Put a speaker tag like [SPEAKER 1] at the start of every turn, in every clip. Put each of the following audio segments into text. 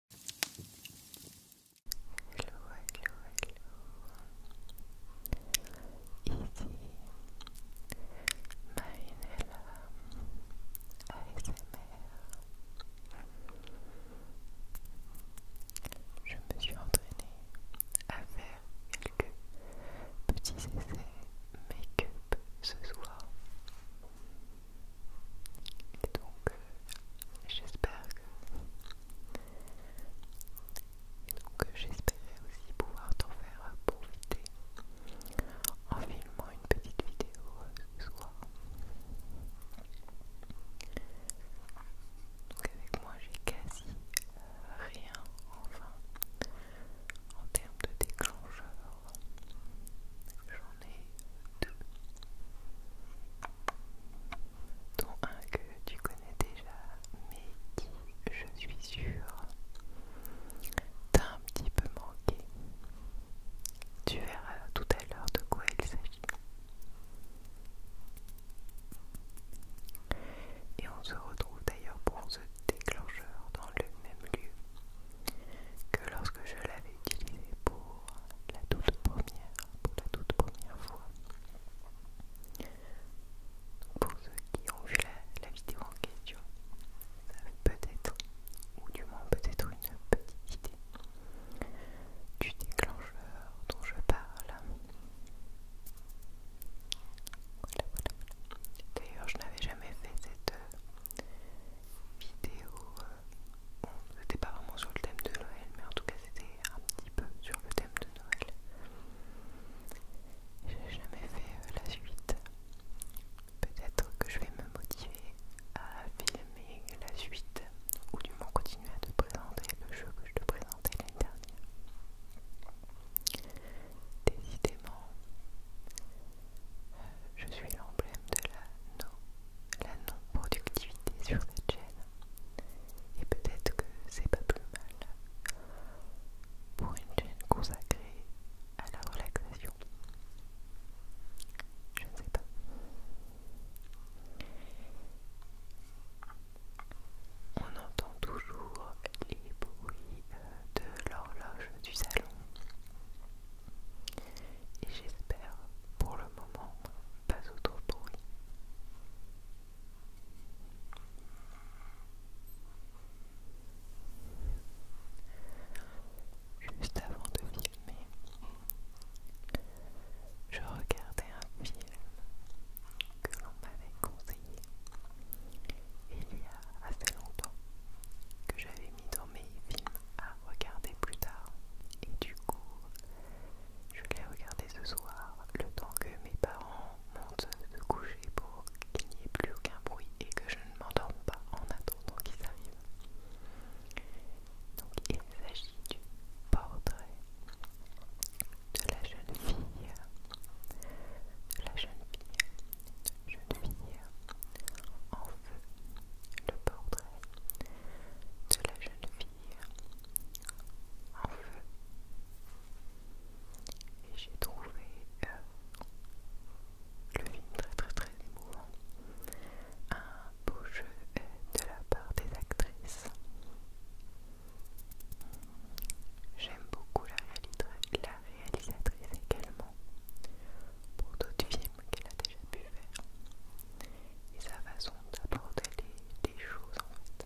[SPEAKER 1] Hello, hello, hello. Ici Marinella ASMR. Je me suis entraînée à faire quelques petits essais make-up ce soir. Et donc, euh, j'espère que. donc, euh, j'espérais aussi pouvoir t'en faire profiter en filmant une petite vidéo euh, ce soir. Donc, avec moi, j'ai quasi rien, enfin, en termes de déclencheur dont un que tu connais déjà, mais qui, je suis sûre, t'a un petit peu manqué. Tu verras tout à l'heure de quoi il s'agit. Et on se retrouve d'ailleurs pour ce déclencheur dans le même lieu que lorsque je l'avais utilisé pour pour la toute première, la toute première fois. Pour ceux qui ont vu la, vidéo en question, être peut-être, ou du moins peut-être une petite idée du déclencheur dont je parle. Voilà, voilà. D'ailleurs, je n'avais jamais fait cette euh, vidéo euh, bon, c'était pas vraiment sur le thème de Noël, mais en tout cas c'était un petit peu sur le thème de Noël. J'ai jamais fait euh, la suite. Peut-être que je vais me motiver à filmer la suite ou du moins continuer à te présenter le jeu que je te présentais l'année dernière. Décidément, euh, je suis l'emblème de la la non-productivité sur cette chaîne. Et peut-être que c'est pas plus mal pour une chaîne consacrée à la relaxation. Je ne sais pas. On entend toujours les bruits euh, de l'horloge du salon. Et j'espère, pour le moment, pas autour trop Juste avant de filmer, je regardais un film que l'on m'avait conseillé il y a assez longtemps que j'avais mis dans mes films à regarder plus tard. Et du coup, je l'ai regardé ce soir, le temps que mes parents montent se coucher pour qu'il n'y ait plus aucun bruit et que je ne m'endorme pas en attendant qu'ils arrivent. Donc il s'agit du portrait de la jeune fille, de la jeune fille, jeune fille en feu le portrait de la jeune fille en feu et j'ai trouvé euh, le film très très très émouvant un beau jeu euh, de la part des actrices j'aime beaucoup la réalisatrice également pour d'autres films qu'elle a déjà pu faire et sa façon d'aborder les, choses en fait.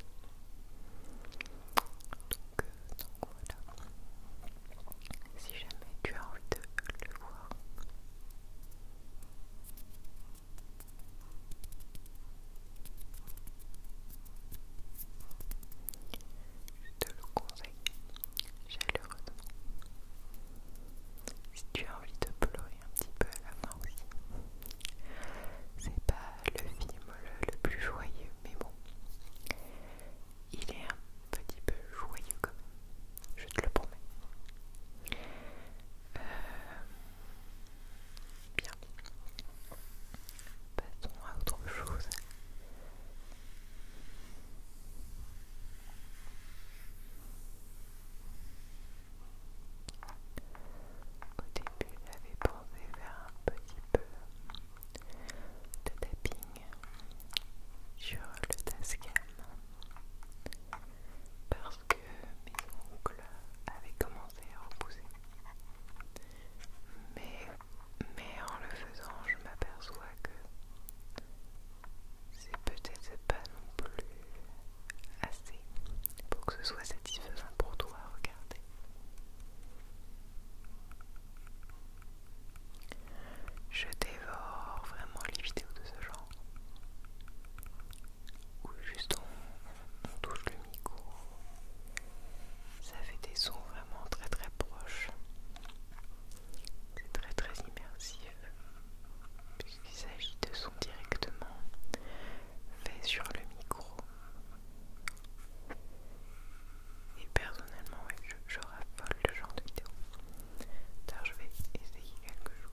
[SPEAKER 1] Euh, donc, voilà. Si jamais tu as envie de le voir. Je te le conseille chaleureusement si tu as envie de pleurer un petit peu à la fin aussi. C'est pas le film le, plus joyeux, mais bon, il est un petit peu joyeux quand même, je te le promets. Euh, bien, passons à autre chose. Au début, j'avais pensé faire un petit peu de tapping sur le tascam parce que mes ongles avaient commencé à repousser. Mais, mais en le faisant, je m'aperçois que c'est peut-être pas non plus assez pour que ce soit satisfaisant pour toi à regarder.
[SPEAKER 2] Je dévore vraiment les vidéos de ce genre où
[SPEAKER 3] juste touche le micro, ça fait des sons vraiment très très proches. C'est très très immersif puisqu'il s'agit de son directement fait sur le micro.
[SPEAKER 2] Et personnellement, ouais, je, le genre de vidéo. Alors, je vais essayer quelque chose.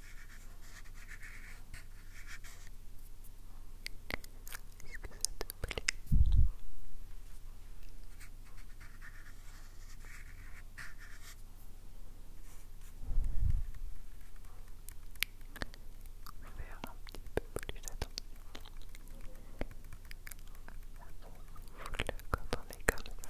[SPEAKER 2] Est-ce Faire un petit peu plus attention à le quand on est comme ça.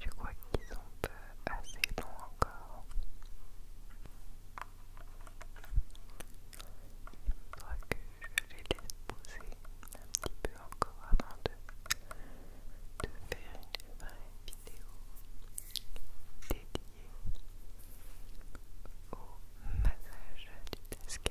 [SPEAKER 2] Je crois qu'ils sont assez longs encore Il faudra que je les poser un petit peu encore avant de, faire une vidéo dédiée au massage du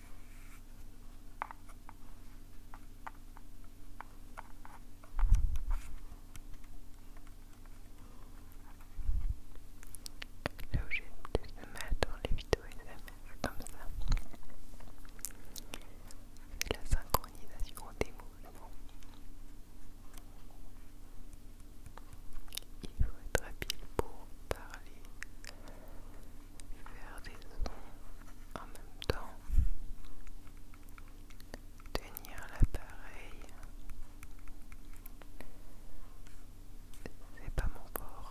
[SPEAKER 4] Là où j'ai le plus de dans les vidéos SMR comme ça, c'est la synchronisation des mouvements. Il faut être habile pour parler faire des sons en même temps, tenir l'appareil, c'est pas mon port.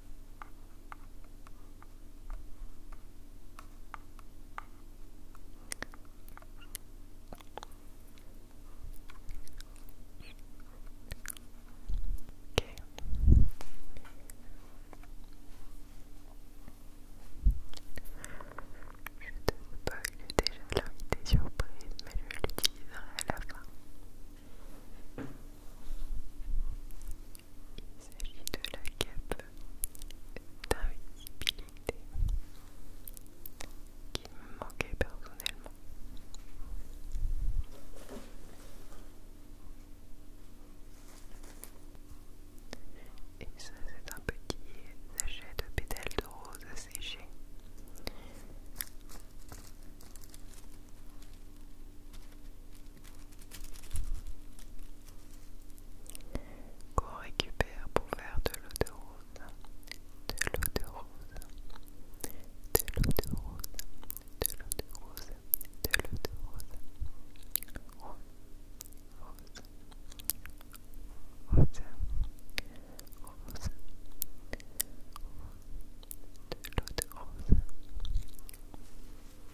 [SPEAKER 4] Je Je te bug déjà l'invité surprise, mais je l'utiliserai à la fin. Il s'agit de la cape d'invisibilité qui me manquait personnellement. Et ça c'est un petit sachet de pétales de rose séchées qu'on récupère pour faire de l'eau de rose, de l'eau de rose, de l'eau de rose, de l'eau de rose, de l'eau de rose, rose, rose, rose, de l'eau de rose.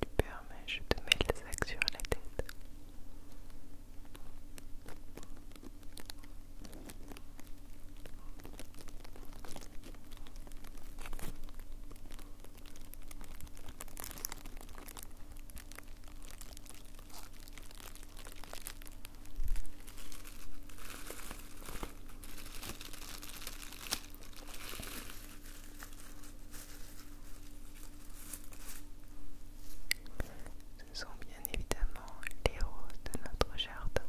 [SPEAKER 4] Super, mais je te mets le sac sur la tête. Ce sont bien évidemment les roses de notre jardin.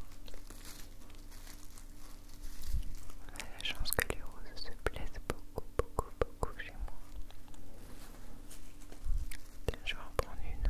[SPEAKER 4] la chance que les roses se plaisent beaucoup, beaucoup, beaucoup chez moi. Je vais en prendre une.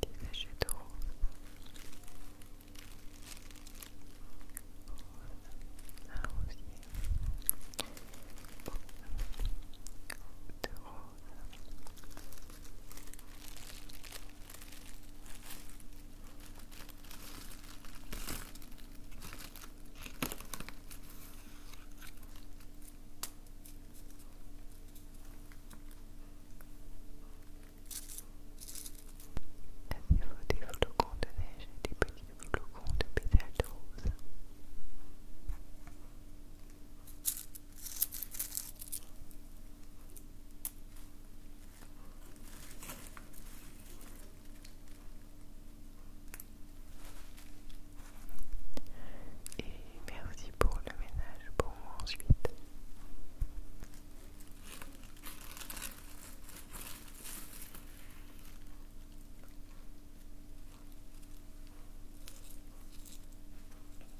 [SPEAKER 4] Des végétaux. Un rosier de rose il faut des flocons de neige et des petits flocons de pétales de rose. Et merci pour le ménage pour moi ensuite.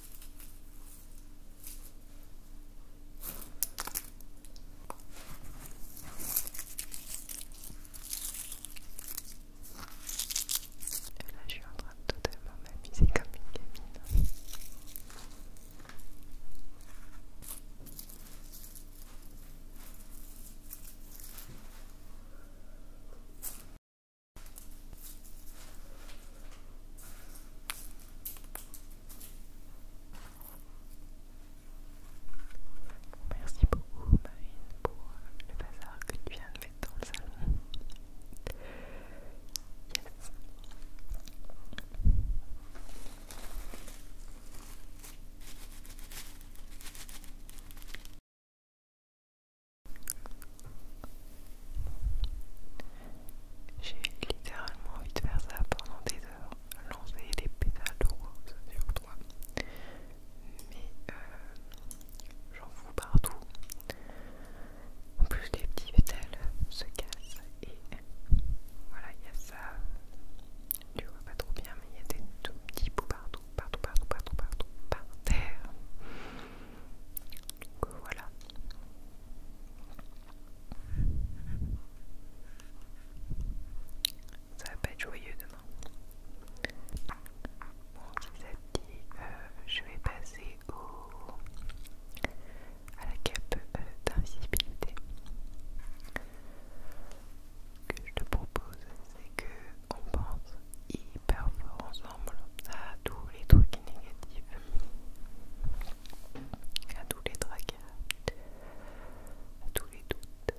[SPEAKER 4] Et là, je suis en train de totalement m'amuser comme une gamine. Merci beaucoup Marine pour le bazar que tu viens de mettre dans le salon. J'ai littéralement envie de faire ça pendant des heures, lancer des pétales de rose sur toi. Mais euh, j'en fous partout. En plus, les petits pétales se cassent et voilà, il y a ça. Tu vois pas trop bien, mais il y a des tout petits bouts partout, partout, partout, partout, partout, par terre. Donc voilà. Ça va pas être joyeux demain. Bon, petit ça euh, je vais passer au à la cape euh, d'invisibilité. Que je te propose, que on pense hyper fort ensemble à tous les trucs négatifs, à tous les tracas, à tous les doutes,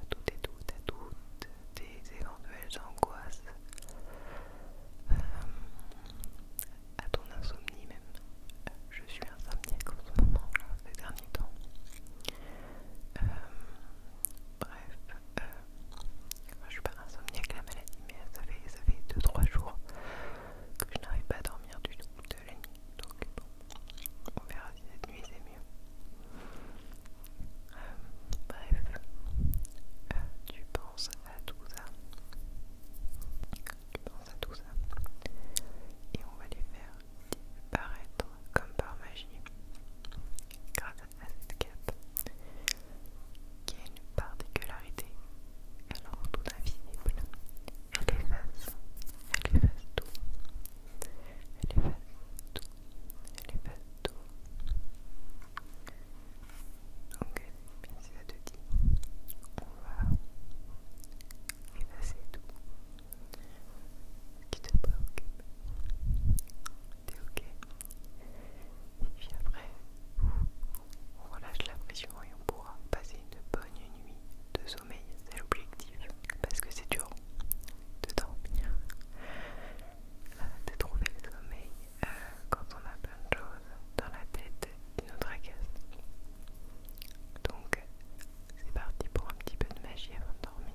[SPEAKER 4] à toutes et doutes, à toutes des éventuelles angoisses, euh, à ton insomnie même. Je suis insomniaque en ce moment, ces derniers temps. Euh, bref, euh, moi je suis pas insomnie avec la maladie, mais ça fait, 2-3 jours que je n'arrive pas à dormir du tout de la nuit. Donc bon, on verra si cette nuit c'est mieux. Euh, bref, euh, tu penses à tout ça. Tu penses à tout ça. Et on va les faire disparaître comme par magie grâce à cette cape qui a une particularité, elle en tout invisible, elle efface, elle efface tout, elle efface tout, elle efface tout. Donc, si ça te dit, on va effacer tout ce qui te préoccupe, c'est ok. Et puis après, on relâche la pression et on pourra passer une bonne nuit de sommeil. C'est l'objectif. Parce que c'est dur de dormir, euh, de trouver le sommeil euh, quand on a plein de choses dans la tête d'une autre tracassent. Donc, c'est parti pour un petit peu de magie avant de dormir.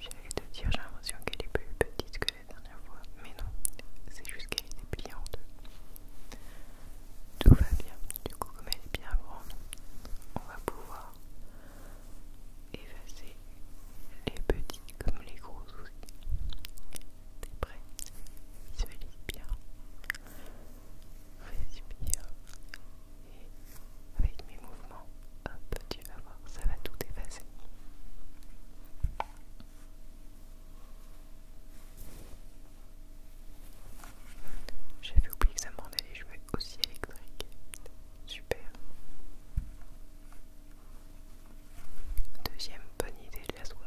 [SPEAKER 4] J'allais te dire, j'ai l'impression qu'elle est plus petite que la dernière fois, mais non, c'est juste qu'elle est pliée en deux. Tout va bien, du coup, comme elle est bien grande, on va pouvoir effacer les petits comme les gros aussi. T'es prêt Visualise bien. bien Et avec mes mouvements, hop, tu vas voir, ça va tout effacer. J'avais oublié que ça me rendait les cheveux aussi électriques. Super. Deuxième bonne idée de la soirée.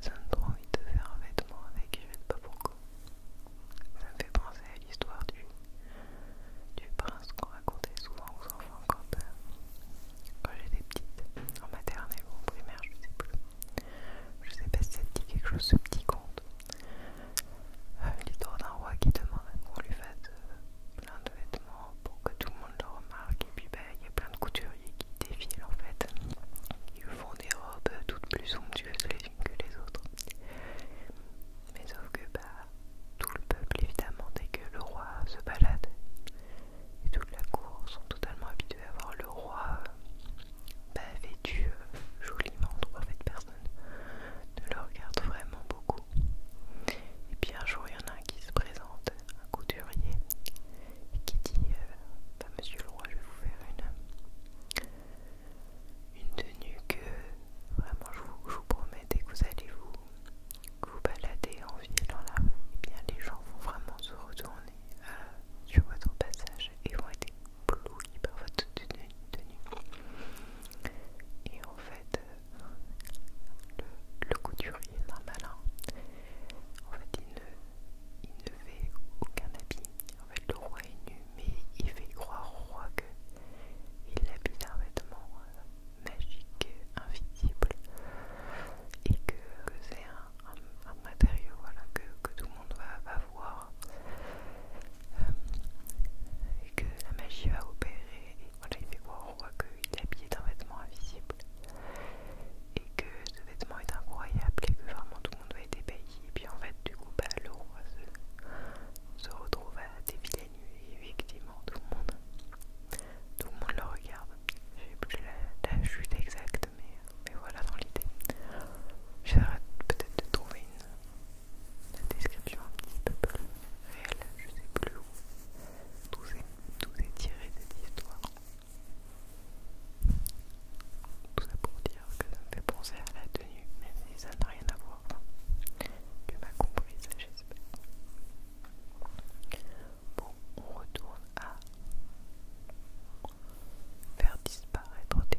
[SPEAKER 4] Ça donne trop envie de faire un vêtement avec, je ne sais pas pourquoi. Ça me fait penser à l'histoire du, du prince qu'on racontait souvent aux enfants quand, euh, j'étais petite, en maternelle ou en primaire, je ne sais plus. Je sais pas si ça te dit quelque chose ce petit conte. Euh, l'histoire d'un roi qui demande qu'on lui fasse euh, plein de vêtements pour que tout le monde le remarque. Et puis bah, il y a plein de couturiers qui défilent en fait. Ils font des robes toutes plus somptueuses les unes que les autres. Mais sauf que bah tout le peuple évidemment dès que le roi se balade et toute la cour sont totalement habitués à voir le roi euh, bah, euh, joliment, joliment, trois en personne ne le regarde vraiment beaucoup. Et puis un jour il y en a un qui se présente, un couturier, et qui dit euh, bah, Monsieur le roi, je vais vous faire une, une tenue que vraiment je vous, promets dès que vous allez vous, balader en ville dans la et eh bien les gens vont vraiment se retourner euh, sur votre passage et vont aider. » Et en fait, euh, le, couturier est malin. Hein. En fait, il ne, il ne fait aucun habit. En fait, le roi est nu, mais il fait croire au roi qu'il habite un vêtement euh, magique, invisible, et que, c'est un, matériau voilà, que, tout le monde va, avoir. Euh, et que la magie va opérer et moi il fait voir on voit qu'il est habillé d'un vêtement invisible et que ce vêtement est incroyable et que vraiment tout le monde va être ébahi et puis en fait du coup bah, le roi se, retrouve à défiler nu et effectivement tout le monde tout le monde le regarde j'ai plus la chute exacte mais, voilà dans l'idée. J'essaierai peut-être de trouver une, description un petit peu plus réelle, je sais plus où, Tout est tiré des histoires Tout ça pour dire que ça me fait penser à la tenue, même si ça n'a rien à voir. Tu hein, m'as compris, j'espère. Bon, on retourne à Faire disparaître des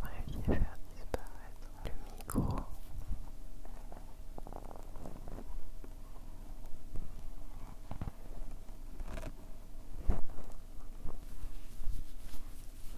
[SPEAKER 4] Voilà, il même faire disparaître le micro.